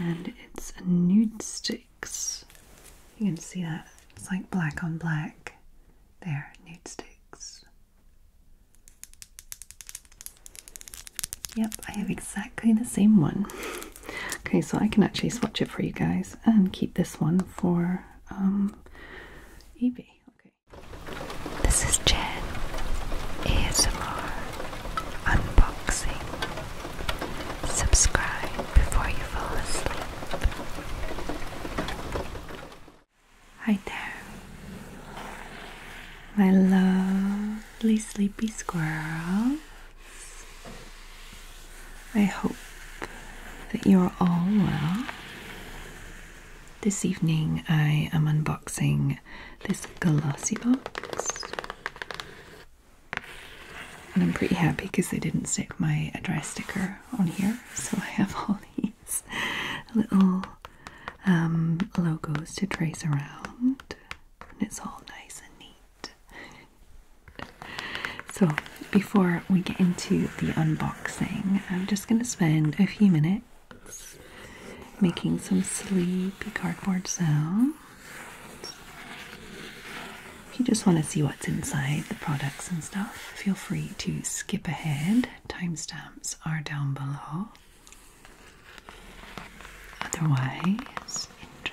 And it's a nude sticks. You can see that. It's like black on black. There, nude sticks. Yep, I have exactly the same one. Okay, so I can actually swatch it for you guys and keep this one for um, eBay. Okay. This is Jen ASMR unboxing. Subscribe before you fall asleep. Hi there, my lovely sleepy squirrel. I hope that you're all well. This evening I am unboxing this glossy box. And I'm pretty happy because they didn't stick my address sticker on here, so I have all these little um, logos to trace around. And it's all nice and neat. so, before we get into the unboxing, I'm just going to spend a few minutes making some sleepy cardboard sounds. If you just want to see what's inside the products and stuff, feel free to skip ahead. Timestamps are down below. Otherwise, try. Good.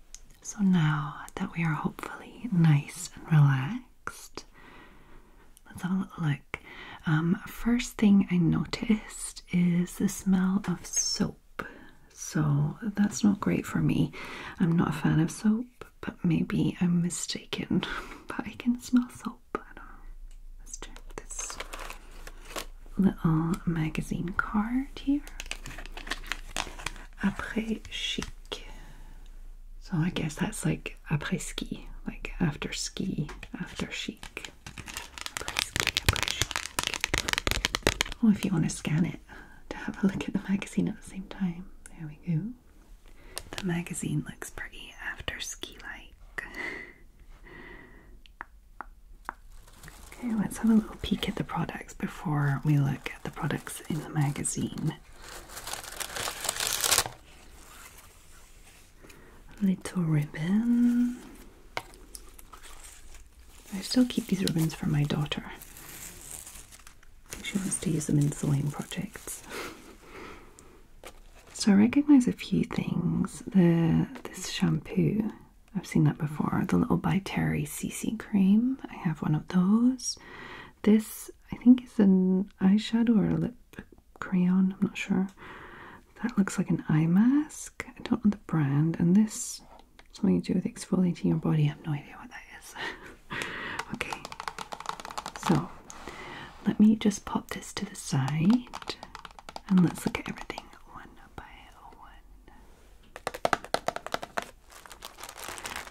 so now that we are hopefully nice and relaxed, let's have a look. Um, first thing I noticed is the smell of soap. So that's not great for me. I'm not a fan of soap, but maybe I'm mistaken. but I can smell soap. Let's check this little magazine card here après chic. So I guess that's like après ski, like after ski, after chic. Après chic. oh, if you want to scan it to have a look at the magazine at the same time. There we go. The magazine looks pretty after ski like. Okay, let's have a little peek at the products before we look at the products in the magazine. Little ribbon. I still keep these ribbons for my daughter. She wants to use them in sewing projects. so I recognize a few things. The this shampoo I've seen that before. The little by Terry CC cream. I have one of those. This I think is an eyeshadow or a lip crayon. I'm not sure. That looks like an eye mask. I don't know the brand. And this something to do with exfoliating your body. I have no idea what that is. okay. So let me just pop this to the side and let's look at everything one by one.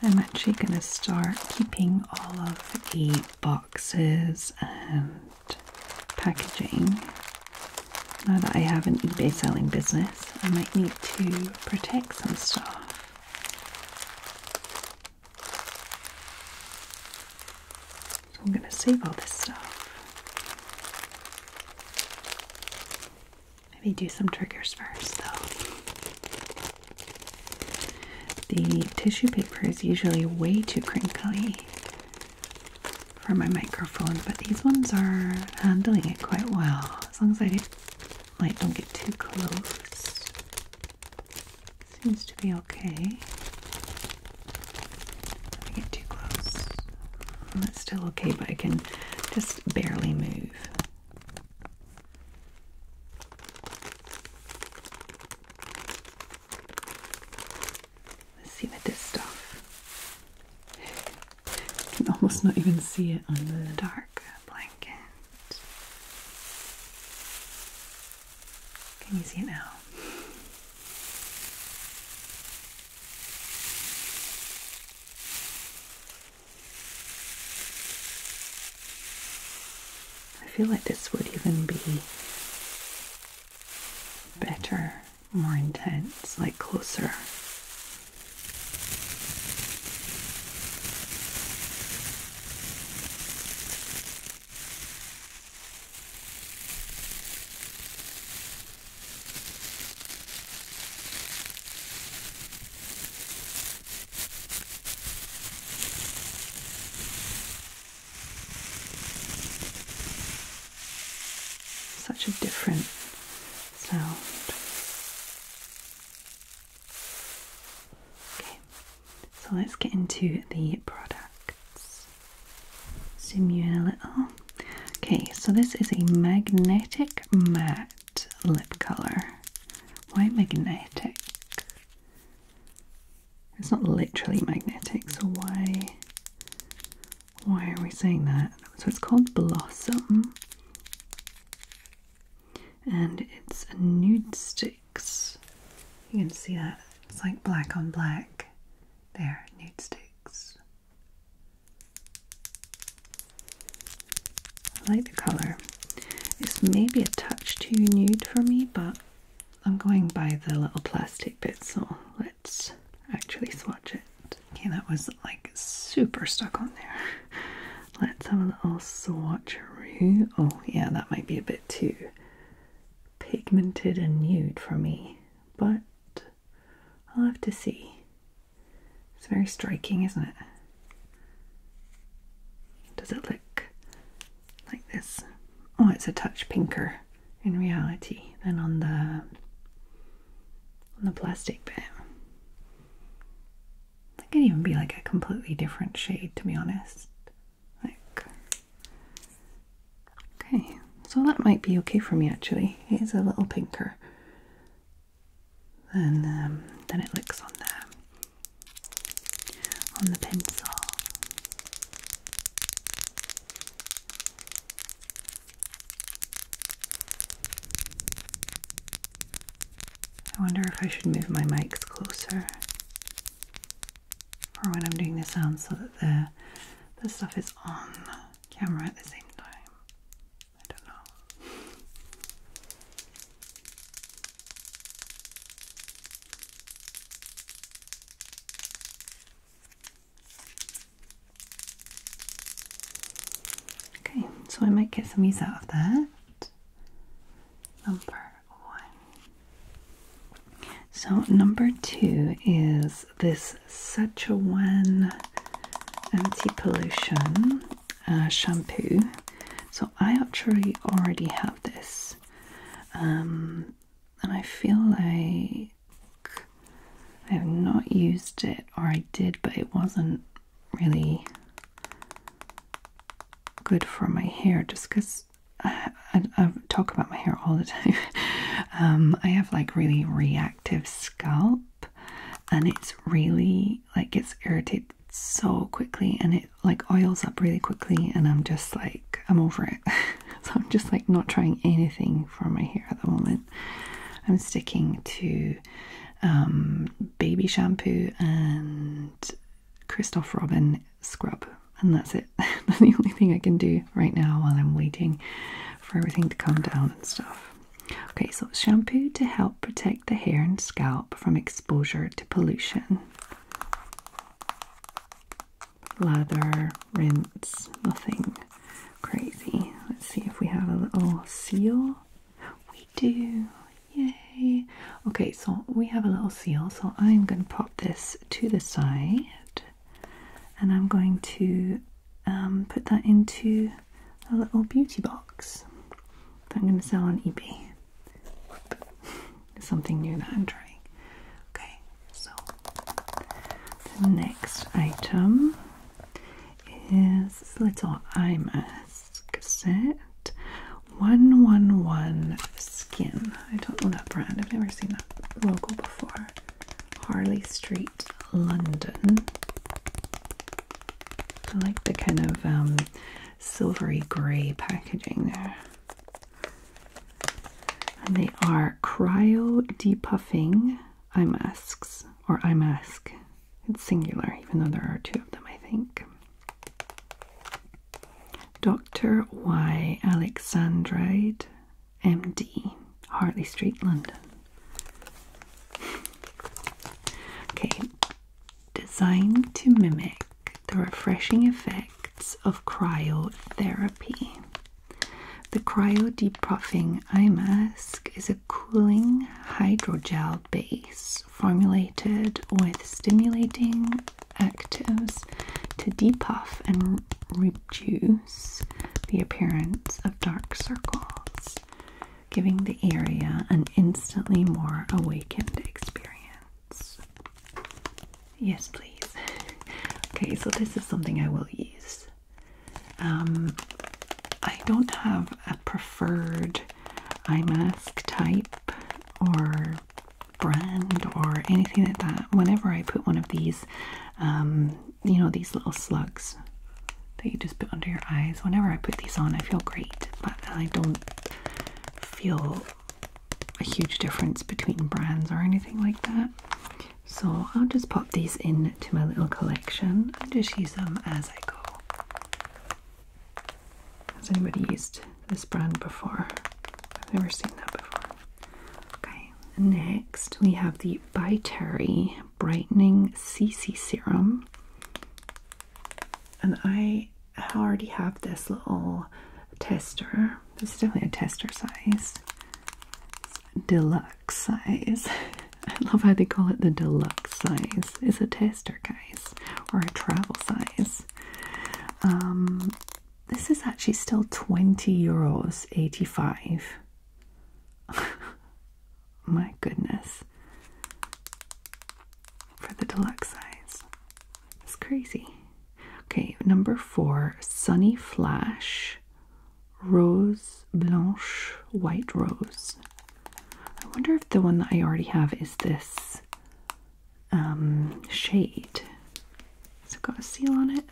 I'm actually going to start keeping all of the boxes and packaging. Now that I have an eBay selling business, I might need to protect some stuff. So I'm going to save all this stuff. Maybe do some triggers first though. The tissue paper is usually way too crinkly for my microphone, but these ones are handling it quite well. As long as I don't, like don't get too close. Seems to be okay. If I get too close. That's still okay, but I can just barely move. Let's see with this stuff. I can almost not even see it on the dark blanket. Can you see it now? I feel like this would even be better, more intense, like closer. Such a different sound. Okay, so let's get into the products. Zoom you in a little. Okay, so this is a magnetic matte lip color. Why magnetic? It's not literally magnetic, so why why are we saying that? So it's called Blossom. And it's a nude sticks. You can see that. It's like black on black. There, nude sticks. I like the color. It's maybe a touch too nude for me, but I'm going by the little plastic bit, so let's actually swatch it. Okay, that was like super stuck on there. Let's have a little swatcheroo. Oh, yeah, that might be a bit too pigmented and nude for me but I'll have to see. It's very striking, isn't it? Does it look like this? Oh, it's a touch pinker in reality than on the on the plastic bit. It could even be like a completely different shade, to be honest. Like Okay, so that might be okay for me actually. It is a little pinker than, um, than it looks on there on the pencil. I wonder if I should move my mics closer for when I'm doing the sound so that the, the stuff is on camera at the same time. I don't know. Okay, so I might get some use out of that. Number one. So, number two is is this Sachuan anti-pollution uh, shampoo. So I actually already have this, um, and I feel like I have not used it, or I did, but it wasn't really good for my hair just because I, talk about my hair all the time. Um, I have like really reactive scalp and it's really like gets irritated so quickly and it like oils up really quickly and I'm just like I'm over it so I'm just like not trying anything for my hair at the moment I'm sticking to um, baby shampoo and Christoph Robin scrub and that's it that's the only thing I can do right now while I'm waiting for everything to come down and stuff. Okay, so shampoo to help protect the hair and scalp from exposure to pollution. Lather, rinse, nothing crazy. Let's see if we have a little seal. We do, yay! Okay, so we have a little seal, so I'm going to pop this to the side and I'm going to um, put that into a little beauty box that I'm going to sell on eBay. Something new that I'm trying. Okay, so the next item is this little eye mask set 111 Skin. I don't know that brand, I've never seen that logo before. Harley Street, London. I like the kind of um, silvery grey packaging there. And they are cryo depuffing eye masks or eye mask. It's singular, even though there are two of them, I think. Dr. Y. Alexandride MD, Hartley Street, London. Okay, designed to mimic the refreshing effects of cryotherapy. The cryo depuffing eye mask is a cooling hydrogel base formulated with stimulating actives to depuff and reduce the appearance of dark circles, giving the area an instantly more awakened experience. Yes, please. okay, so this is something I will use. Um, I don't have a preferred eye mask type or brand or anything like that. Whenever I put one of these, um, you know, these little slugs that you just put under your eyes. Whenever I put these on, I feel great, but I don't feel a huge difference between brands or anything like that. So I'll just pop these in to my little collection and just use them as I go. Has anybody used this brand before? I've never seen that before. Okay, next we have the By Terry Brightening CC Serum. And I already have this little tester. This is definitely a tester size. deluxe size. I love how they call it the deluxe size. It's a tester, guys, or a travel size. Um, this is actually still 20 euros 85. My goodness. For the deluxe size. It's crazy. Okay, number four Sunny Flash Rose Blanche White Rose. I wonder if the one that I already have is this um, shade. Has it got a seal on it?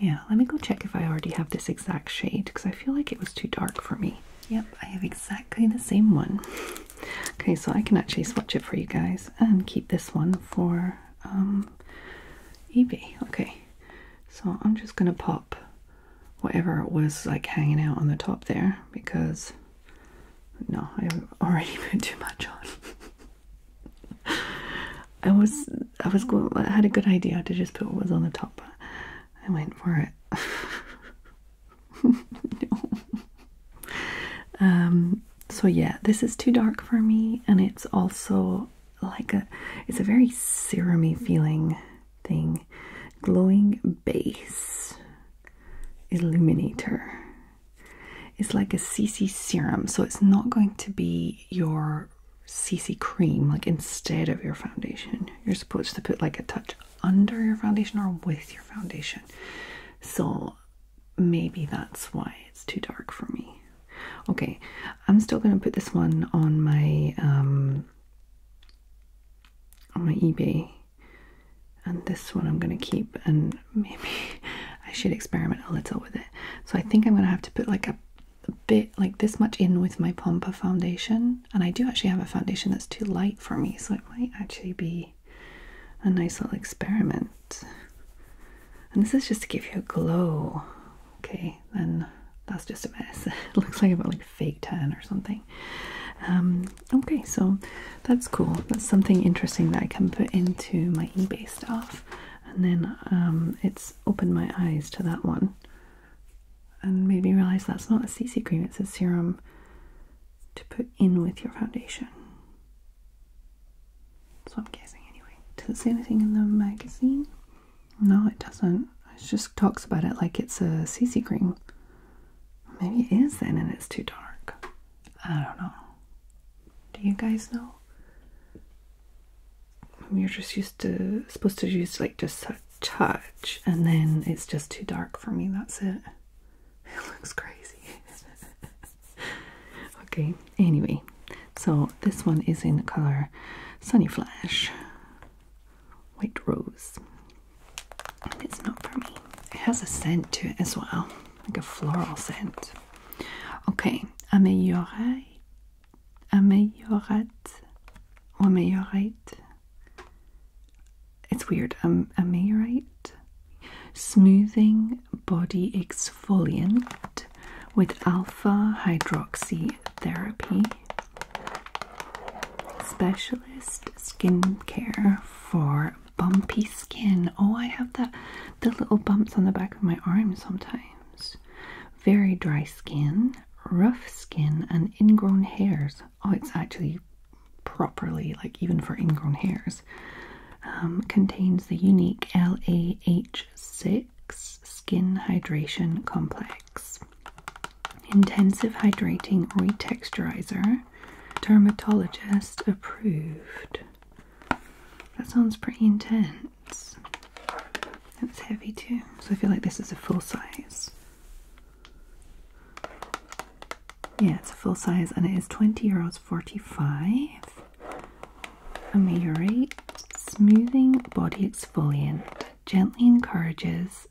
Yeah, let me go check if I already have this exact shade because I feel like it was too dark for me. Yep, I have exactly the same one. Okay, so I can actually swatch it for you guys and keep this one for um, eBay. Okay, so I'm just gonna pop whatever was like hanging out on the top there because no, I already put too much on. I was I was going had a good idea to just put what was on the top but I went for it. Um so yeah, this is too dark for me and it's also like a it's a very serumy feeling thing. Glowing base illuminator. It's like a CC serum, so it's not going to be your CC cream, like instead of your foundation. You're supposed to put like a touch under your foundation or with your foundation. So maybe that's why it's too dark for me. Okay, I'm still going to put this one on my um, on my eBay. And this one I'm going to keep and maybe I should experiment a little with it. So I think I'm gonna have to put like a, bit like this much in with my Pompa foundation. And I do actually have a foundation that's too light for me, so it might actually be a nice little experiment. And this is just to give you a glow. Okay, then that's just a mess. it looks like I've got like fake tan or something. Um, okay, so that's cool. That's something interesting that I can put into my eBay stuff and then um, it's opened my eyes to that one and made me realize that's not a CC cream, it's a serum to put in with your foundation. So I'm guessing anyway. Does it say anything in the magazine? No, it doesn't. It just talks about it like it's a CC cream. Maybe it is then and it's too dark. I don't know. Do you guys know? we are just used to supposed to use like just a touch, and then it's just too dark for me. That's it. It looks crazy. okay. Anyway, so this one is in the color Sunny Flash, White Rose. It's not for me. It has a scent to it as well like a floral scent. Okay, amélioré, améliorate, or oh, ameliorate. It's weird. Um, ameliorate, smoothing body exfoliant with alpha hydroxy therapy. Specialist skincare for bumpy skin. Oh, I have that the little bumps on the back of my arm sometimes. Very dry skin, rough skin, and ingrown hairs. Oh, it's actually properly like even for ingrown hairs. Um, contains the unique LAH6 skin hydration complex. Intensive hydrating retexturizer, dermatologist approved. That sounds pretty intense. It's heavy too, so I feel like this is a full size. Yeah, it's a full size and it is 20 euros 45. And may smoothing body exfoliant gently encourages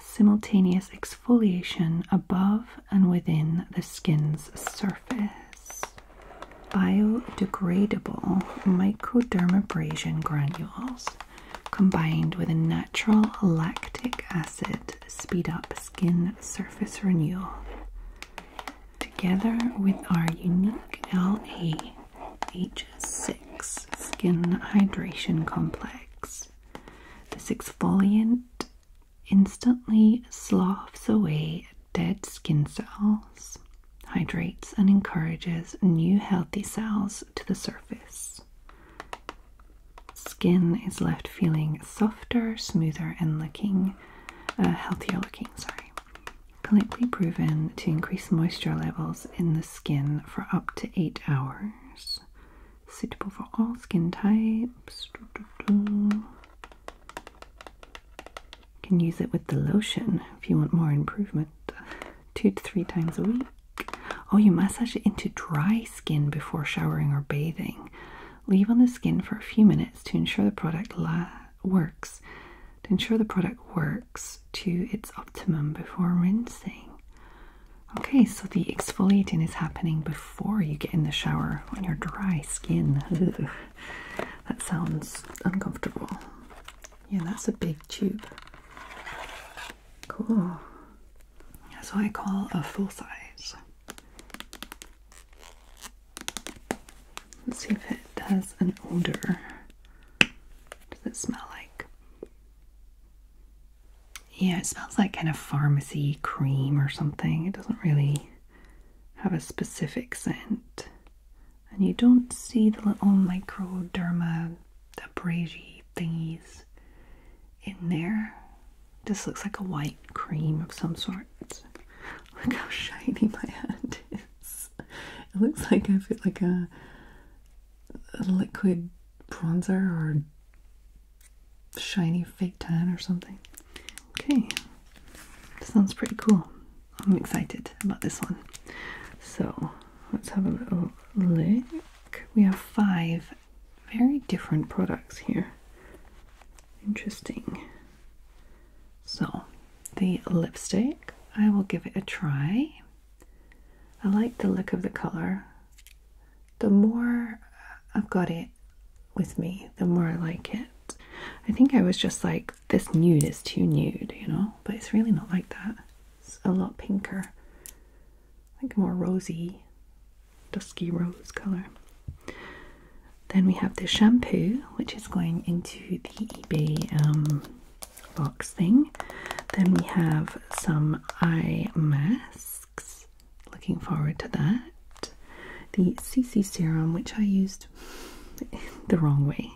simultaneous exfoliation above and within the skin's surface surface biodegradable microdermabrasion granules combined with a natural lactic acid speed up skin surface renewal together with our unique LAH6 skin hydration complex. This exfoliant instantly sloughs away dead skin cells, hydrates, and encourages new healthy cells to the surface. Skin is left feeling softer, smoother, and looking uh, healthier looking. Sorry, clinically proven to increase moisture levels in the skin for up to eight hours. Suitable for all skin types. You can use it with the lotion if you want more improvement. Two to three times a week. Oh, you massage it into dry skin before showering or bathing. Leave on the skin for a few minutes to ensure the product works. To ensure the product works to its optimum before rinsing. Okay, so the exfoliating is happening before before you get in the shower on your dry skin. that sounds uncomfortable. Yeah, that's a big tube. Cool. That's what I call a full size. Let's see if it has an odor. Does it smell like yeah, it smells like kind of pharmacy cream or something. It doesn't really have a specific scent. And you don't see the little microderma abrasive thingies in there. This looks like a white cream of some sort. Look how shiny my hand is. It looks like I feel like a liquid bronzer or shiny fake tan or something. Okay, sounds pretty cool. I'm excited about this one. So let's have a little look. We have five very different products here. Interesting. So the lipstick, I will give it a try. I like the look of the color the more I've got it with me, the more I like it. I think I was just like, this nude is too nude, you know? But it's really not like that. It's a lot pinker. I Like more rosy, dusky rose color. Then we have the shampoo, which is going into the eBay um, box thing. Then we have some eye mask. Looking forward to that. The CC serum, which I used the wrong way.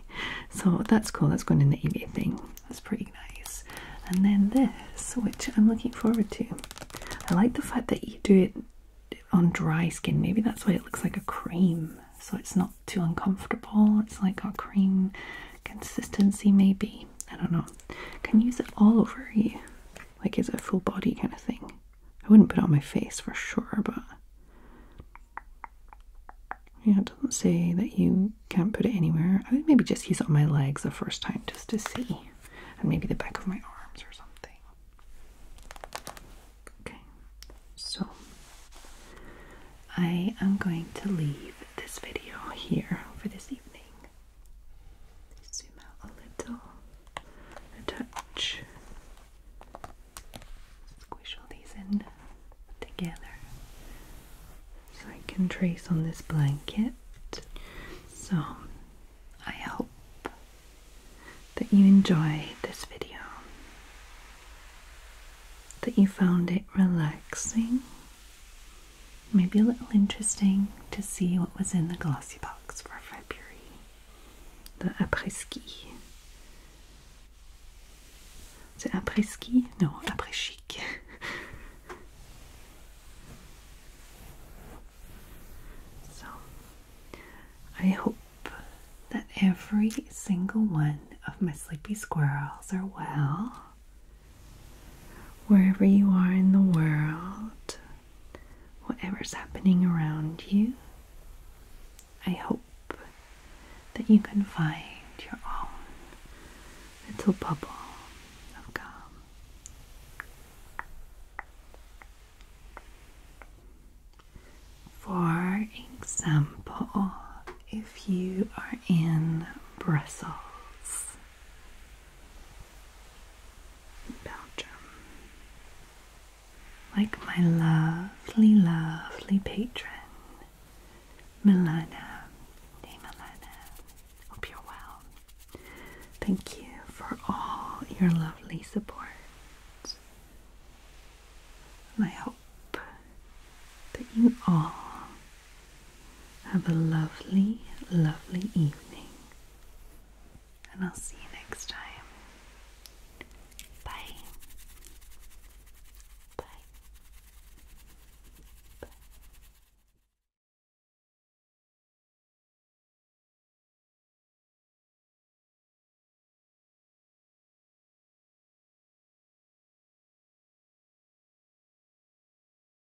So that's cool. That's going in the eBay thing. That's pretty nice. And then this, which I'm looking forward to. I like the fact that you do it on dry skin. Maybe that's why it looks like a cream. So it's not too uncomfortable. It's like a cream consistency maybe. I don't know. Can use it all over you. Like, is a full body kind of thing? I wouldn't put on my face for sure, but. Yeah, it doesn't say that you can't put it anywhere. I would maybe just he's on my legs the first time just to see. And maybe the back of my arms or something. Okay, so I am going to leave this video here for this evening. Zoom out a little, a touch. Squish all these in together. So I can trace on this blanket. So I hope that you enjoyed this video, that you found it relaxing Maybe a little interesting to see what was in the glossy box for February. The après ski. Is après ski? No, après chic. so, I hope that every single one of my sleepy squirrels are well wherever you are in the world, whatever's happening around you, I hope that you can find your own little bubble of calm. For example, if you are in Brussels, Belgium. Like my lovely, lovely patron, Milana. Hey Milana, hope you're well. Thank you for all your lovely support. And I hope that you all have a lovely, lovely evening, and I'll see you next time. Bye. Bye. Bye.